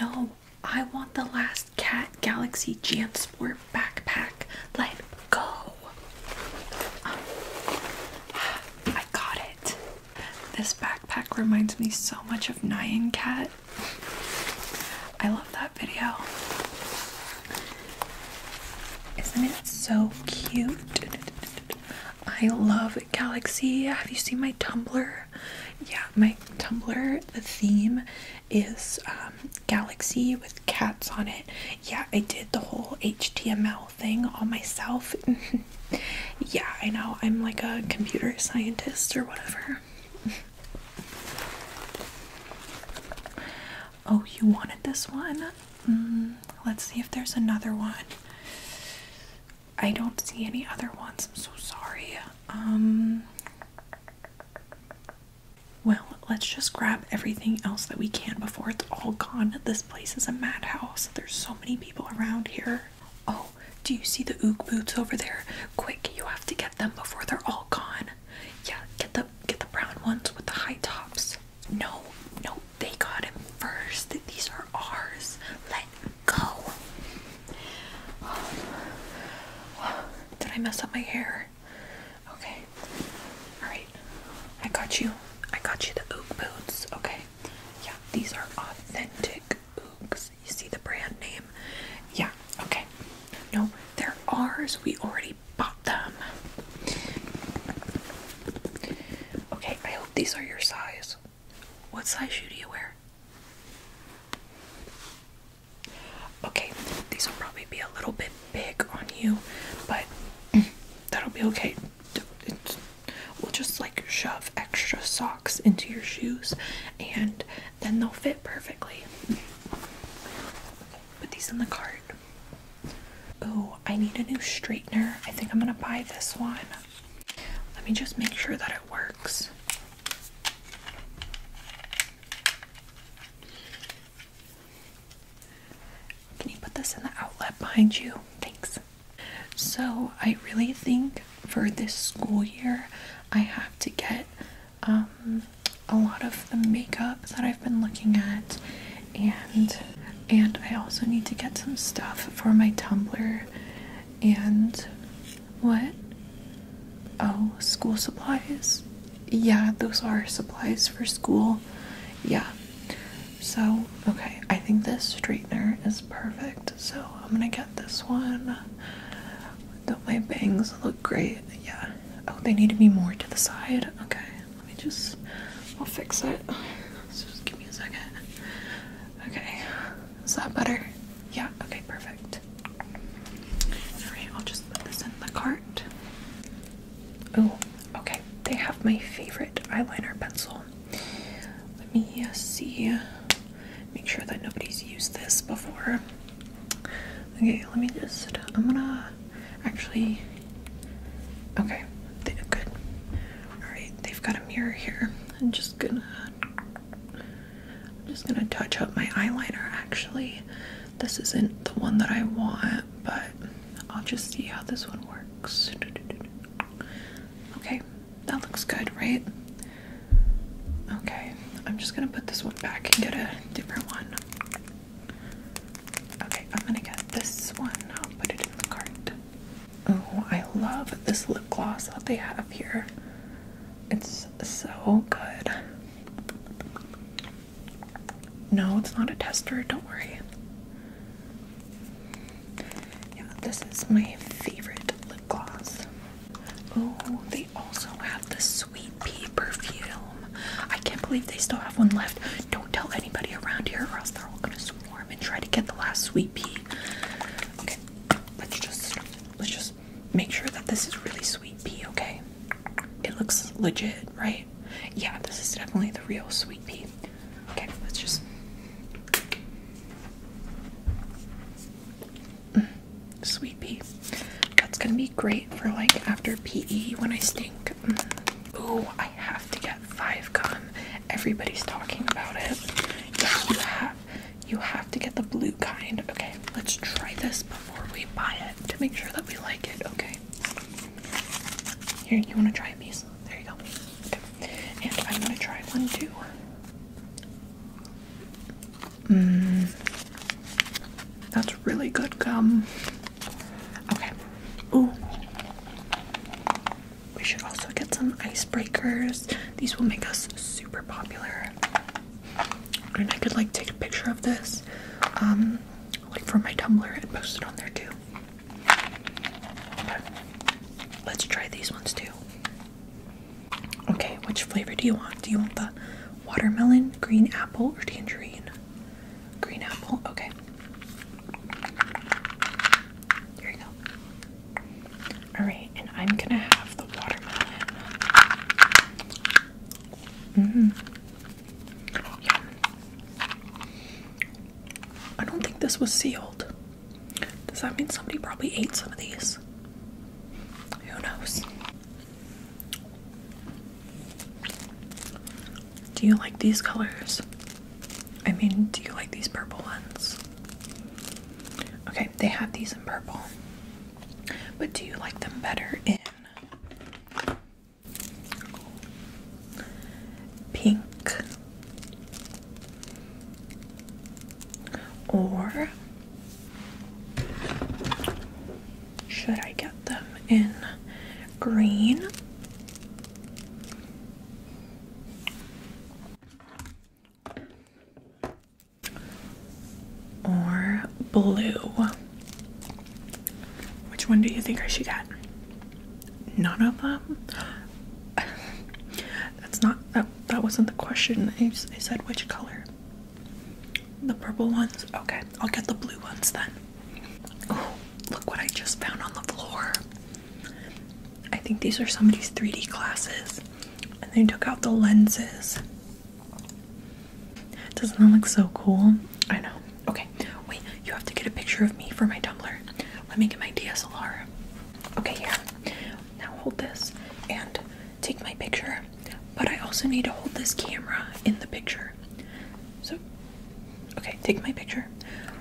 No, I want the last Cat Galaxy Jansport backpack. Let go. Um, I got it. This backpack reminds me so much of Nyan Cat. I love that video. Isn't it so cute? I love Galaxy. Have you seen my Tumblr? yeah, my Tumblr, the theme is um, Galaxy with cats on it. Yeah, I did the whole HTML thing all myself. yeah, I know, I'm like a computer scientist or whatever. oh, you wanted this one? Mm, let's see if there's another one. I don't see any other ones. I'm so sorry. Um Well, let's just grab everything else that we can before it's all gone. This place is a madhouse. There's so many people around here. Oh, do you see the oog boots over there? Quick, you have to get them before they're all gone. Yeah, get the get the brown ones with the high tops. No, no, they got him first. These are ours. Let go. Did I mess up my hair? Okay. Alright. I got you. I got you the Ook boots. Okay. Yeah, these are authentic Ooks. You see the brand name? Yeah, okay. No, they're ours. We already bought them. Okay, I hope these are your size. What size shoe do you wear? Okay, these will probably be a little bit big on you, but that'll be okay. we'll just like shove extra socks into your shoes and then they'll fit perfectly. Put these in the cart. Oh, I need a new straightener. I think I'm gonna buy this one. Let me just make sure that it works. Can you put this in the outlet behind you? Thanks. So, I really think for this school year, I have to get um, a lot of the makeup that I've been looking at, and and I also need to get some stuff for my Tumblr and what? Oh, school supplies. Yeah, those are supplies for school. Yeah. So, okay, I think this straightener is perfect. So, I'm gonna get this one. Don't my bangs look great? Yeah. Oh, they need to be more to the side. Okay, let me just, I'll fix it. Give me a second. Okay. Is that better? Yeah. Okay, perfect. Alright, I'll just put this in the cart. Oh, okay. They have my favorite eyeliner pencil. Let me see. Make sure that nobody's used this before. Okay, let me just. I'm gonna actually Okay, they, good. Alright, they've got a mirror here. I'm just gonna I'm just gonna touch up my eyeliner actually. This isn't the one that I want, but I'll just see how this one works. Okay, that looks good, right? Okay, I'm just gonna put this one back and get a different one. Okay, I'm gonna get this one. I'll put it in the cart. Oh, I love this lip gloss that they have here. It's so good. No, it's not a tester, don't worry. Yeah, this is my favorite lip gloss. Oh, they also have the Sweet Pea perfume. I can't believe they still have one left. Don't tell anybody around here or else they're all gonna swarm and try to get the last sweet pea. Okay, let's just let's just make sure that this is really sweet pea. Okay, it looks legit, right? Yeah, this is definitely the real sweet pea. Okay, let's just. Mm, sweet pea. That's gonna be great for like after PE when I stink. Mm. Ooh, I have to get five gum. Everybody's talking about it. you have you have to get the blue kind. Okay, let's try this before we buy it to make sure that we like it. Okay. Here, you wanna try a piece? There you go. And I'm gonna try one too. Mmm. That's really good gum. Okay. Ooh. We should also get some icebreakers. These will make us super popular. And I could like take a picture of this, um, like from my Tumblr and post it on there too. Let's try these ones too. Okay, which flavor do you want? Do you want the watermelon, green apple, or tangerine? Green apple, okay. Here you go. Alright, and I'm gonna have the watermelon. Mm. I don't think this was sealed. Does that mean somebody probably ate some of these? Who knows? Do you like these colors? I mean, do you like these purple ones? Okay, they have these in purple. But do you like them better in pink or should I get them in green? Or blue? Which one do you think I should get? None of them? That's not that, that wasn't the question. I, I said which color. The purple ones? Okay, I'll get the blue ones then. look what I just found on the floor. I think these are somebody's 3D glasses. And they took out the lenses. Doesn't that look so cool? I know. Okay, wait, you have to get a picture of me for my Tumblr. Let me get my DSLR. Okay, here. Now hold this and take my picture. But I also need to hold this camera in the picture. So, okay, take my picture,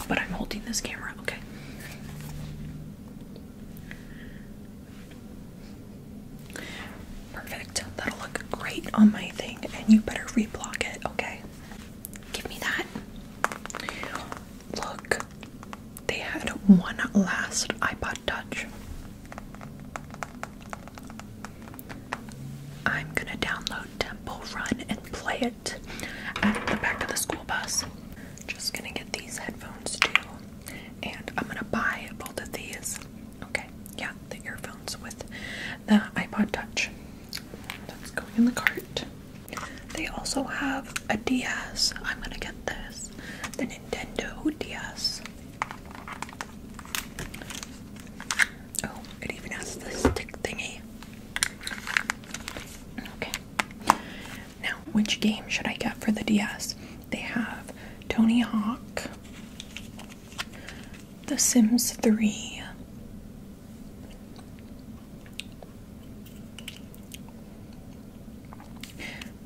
but I'm holding this camera, okay? Perfect. That'll look great on my thing, and you better reblock it, okay? Give me that. Look, they had one last iPod Touch. I'm gonna download Temple Run and play it at the back of the school bus. Just gonna get these headphones too, and I'm gonna buy both of these. Okay, yeah, the earphones with the iPod Touch. That's going in the cart. They also have a DS. I'm gonna get this the Nintendo DS. Oh, it even has the stick thingy. Okay. Now, which game should I get for the DS? They have Tony Hawk, The Sims 3,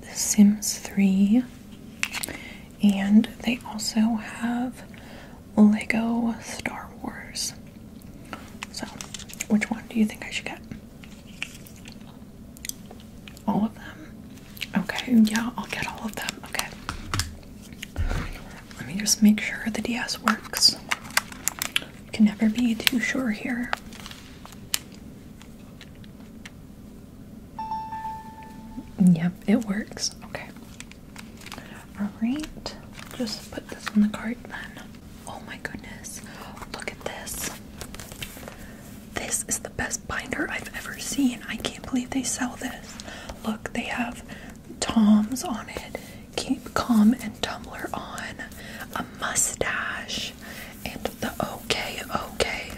The Sims 3, and they also have Lego Star Wars. So, which one do you think I should get? All of them? Okay, yeah, I'll get all of them. Okay. Let me just make sure the DS works. You can never be too sure here. Yep, it works. Okay. Alright, just put this in the cart then. Oh my goodness, look at this. This is the best binder I've ever seen. I can't believe they sell this. Look, they have Toms on it, Keep Calm and Tumbler on, a mustache, and the OK OK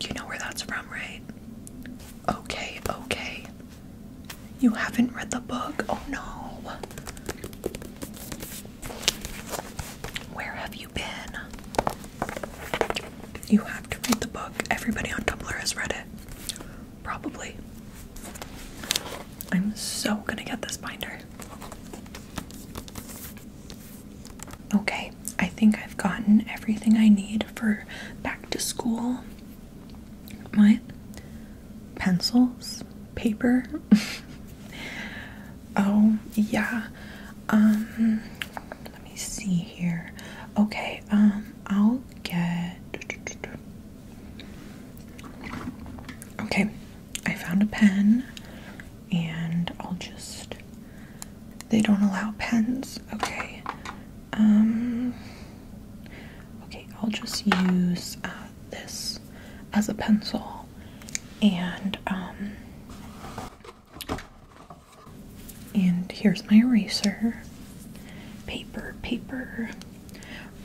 you know where that's from, right? Okay, okay. You haven't read the book? Oh no. Where have you been? You have to read the book. Everybody on Tumblr has read it. Probably. I'm so gonna get this binder. Okay, I think I've gotten everything I need for back to school. My Pencils? Paper? oh, yeah. Um, let me see here. Okay, um, I'll get. Okay, I found a pen and I'll just they don't allow pens. Okay. Um okay, I'll just use uh, this as a pencil and um and here's my eraser. Paper, paper.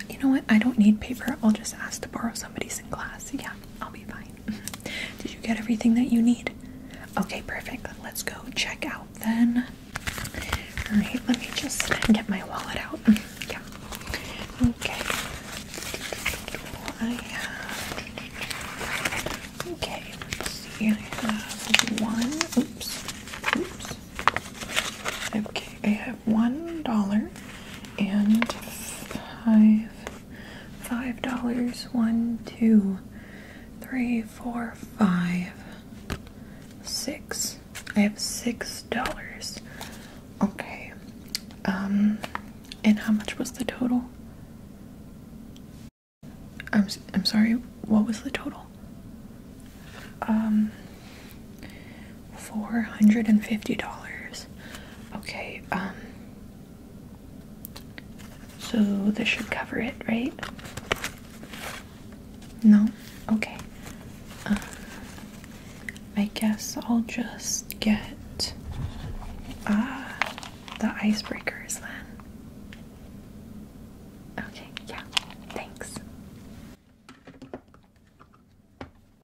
You know what? I don't need paper. I'll just ask to borrow somebody's in class. Yeah, I'll be fine. Did you get everything that you need? Okay, perfect. Let's go check out then. Alright, let me just get my wallet out. Yeah. Okay. Okay, let's see. I have one. Oops. Oops. Okay, I have one dollar and five five dollars. One, two, three, four, five, six. I have six dollars. Okay. Um, and how much was the total? I'm I'm sorry. What was the total? Um, $450. Okay, um, so this should cover it, right? No? Okay. Um, I guess I'll just get uh, the icebreakers then. Okay, yeah, thanks.